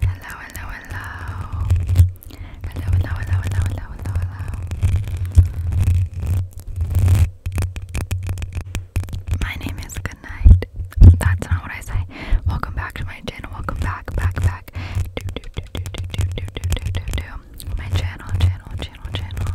Hello, hello, hello. Hello, hello, hello, hello, hello, hello, My name is Goodnight. That's not what I say. Welcome back to my channel. Welcome back, back, back. Do, do, do, do, do, do, do, do, do, do. My channel, channel, channel, channel.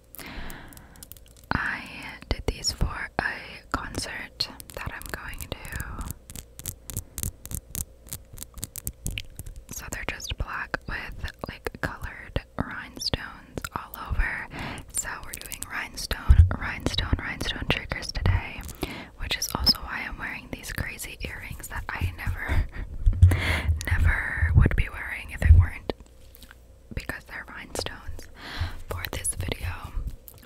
I did these for a concert that I'm going to. So they're just black with like colored rhinestones all over. So we're doing rhinestone, rhinestone, rhinestone triggers today, which is also why I'm wearing these crazy earrings that I never, never would be wearing if it weren't because they're rhinestones for this video.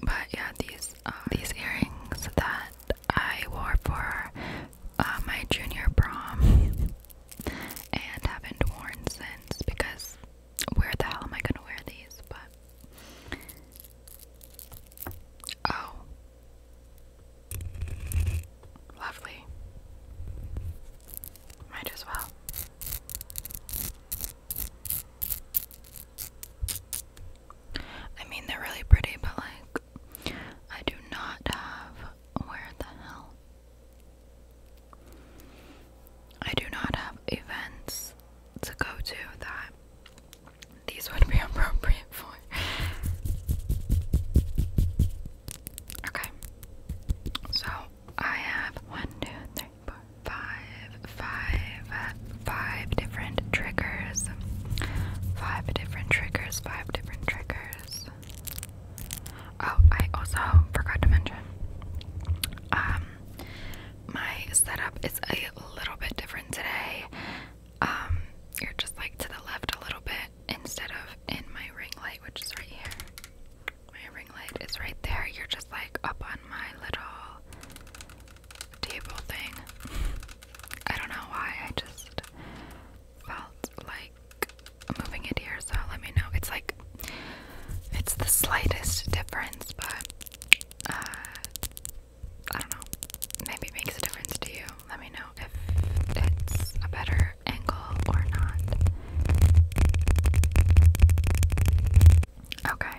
But yeah, these uh, these earrings that I wore for uh, my junior prom and haven't worn since because where the hell am I gonna wear these? But oh, Lovely. Might as well. I mean, they're really pretty, but like, I do not have. Where the hell? I do not have events to go to that these would be appropriate for. Okay. So I have one, two, three, four, five, five, different triggers. Five different triggers, five different triggers. Oh, I also forgot to mention. Um my setup is a little bit different today. Um, you're just like to the left a little bit instead of in my ring light, which is right here. My ring light is right there. You're just like up on my little table thing. I don't know why. I just felt like moving it here, so let me know. It's like it's the slightest difference, but uh, I don't know. Maybe it makes a difference to you. Let me know if it's a better your ankle or not. Okay.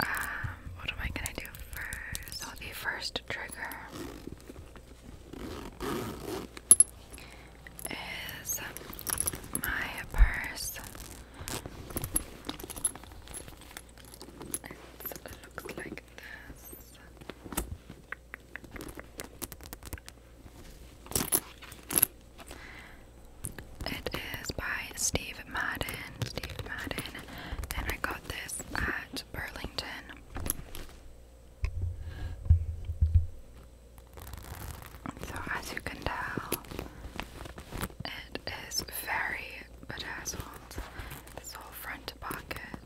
Um, what am I gonna do first? the first trigger is my purse. It looks like this. It is by Steve Madden. Steve Madden. And I got this at Burlington. So, as you can tell, it is very bedazzled. This whole front pocket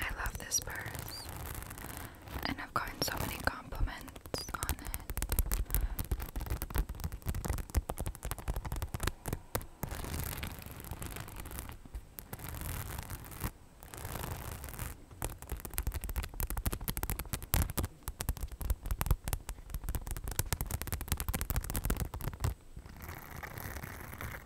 I love this purse, and I've gotten so many compliments on it.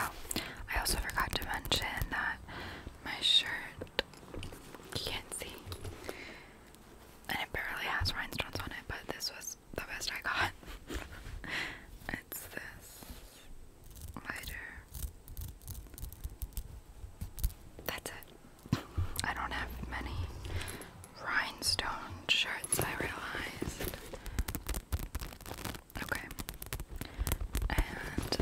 Oh, I also forgot to mention that my shirt, you can't see, and it barely has rhinestones on it, but this was the best I got. it's this lighter. That's it. I don't have many rhinestone shirts, I realized. Okay. And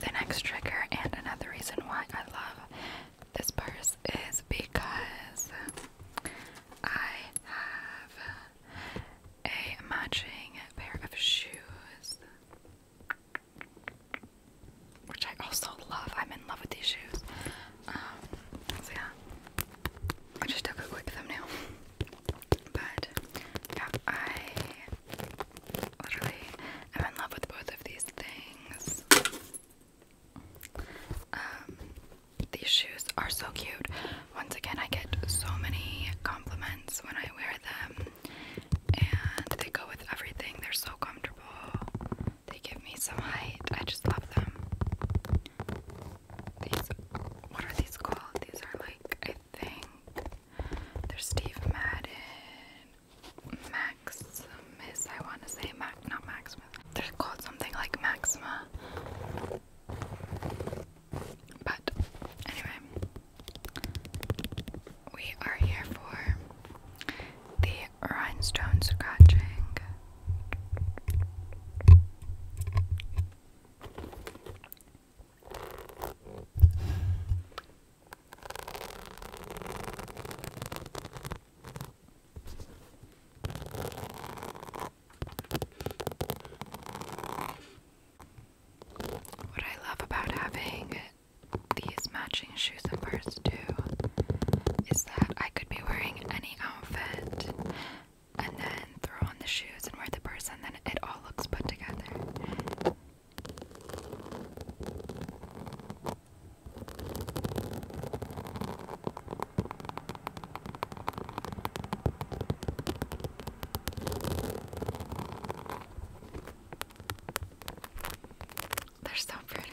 the next trigger, and another reason why I love this purse, is because I have a matching pair of shoes, which I also love. I'm in love with these shoes. Um, yeah, I just took a quick thumbnail, but yeah, I literally am in love with both of these things. Um, these shoes are so cute. Once again, I get so many compliments when I wear them, and they go with everything. They're so comfortable. They give me some height. I just love them these what are these called? These are like I think they're Steve Madden Maximus I wanna say Max, not Maximus. They're called something like Maxima. But anyway we are here for the rhinestone scratching what I love about having these matching shoes and purse too is that I could be wearing any outfit and then throw on the shoes and wear the person. then it all looks put together. They're so pretty.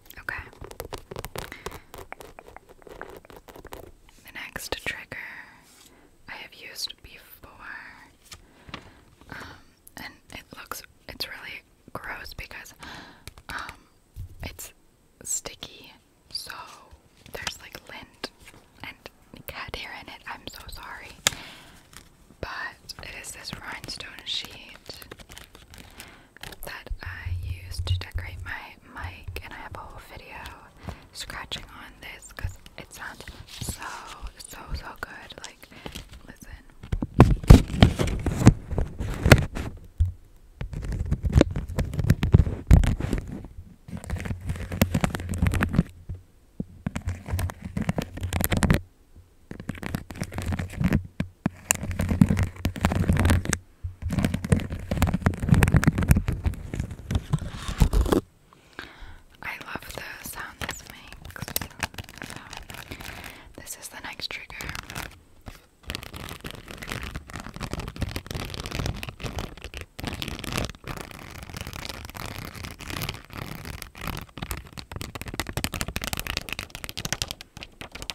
Okay. The next trigger I have used before. Um, and it looks it's really gross because um, it's sticky so there's like lint and cat hair in it. I'm so sorry. But it is this rhinestone sheet that I use to decorate my mic, and I have a whole video scratching on this because it sounds so, so, so good. Like, listen. I love the sound this makes. So, this is the next trigger.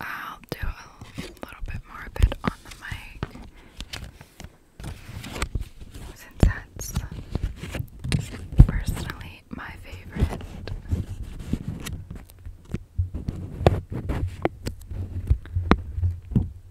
I'll do a little bit more of it on the mic since personally my favorite.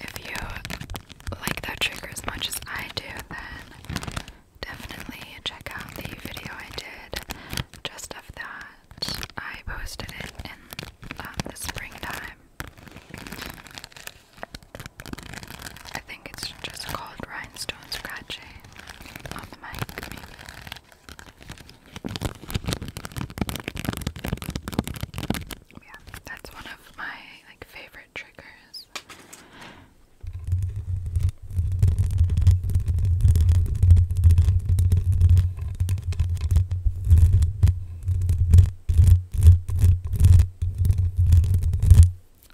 If you like that trigger as much as I do, then definitely check out the video I did just of that. I posted it in um, the springtime. I think it's just called Rhinestone Scratching. Yeah, that's one of my like favorite triggers.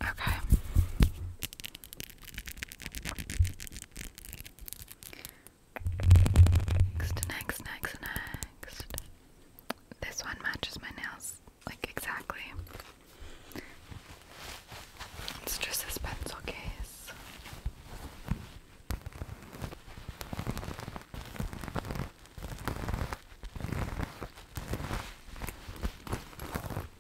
Okay. Next, next, next, next. This one matches my nails like exactly. It's just this pencil case.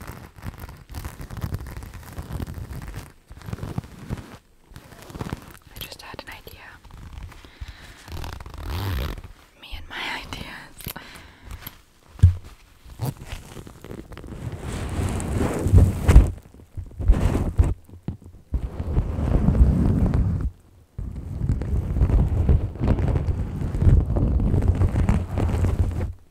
I just had an idea. Me and my ideas.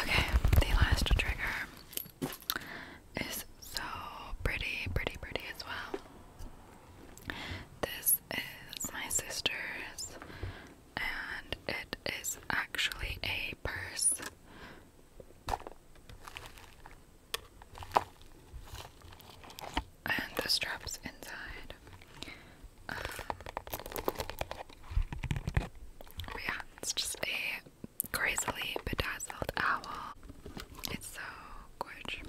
Okay, the last trigger is so pretty, pretty, pretty as well. This is my sister's, and it is actually a purse. And the straps inside yeah, it's just a crazily bedazzled owl. It's so gorgeous.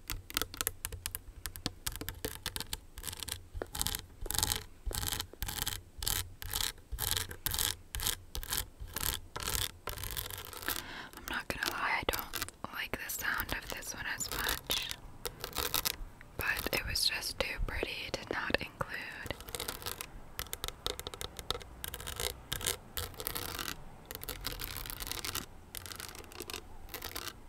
I'm not gonna lie, I don't like the sound of this one as much, but it was just too pretty to not include.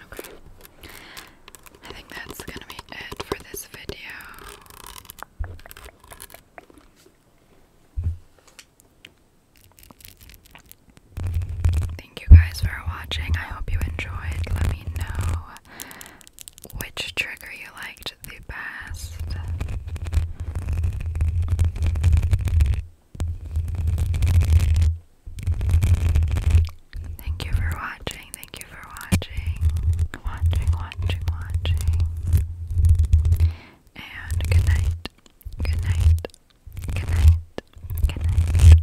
Okay. I think that's going to be it for this video. Thank you guys for watching. I hope you enjoyed. Let me know which trigger you liked the best. Thank you for watching. Thank you for watching. Watching, watching, watching. And good night. Good night. Good night. Good night.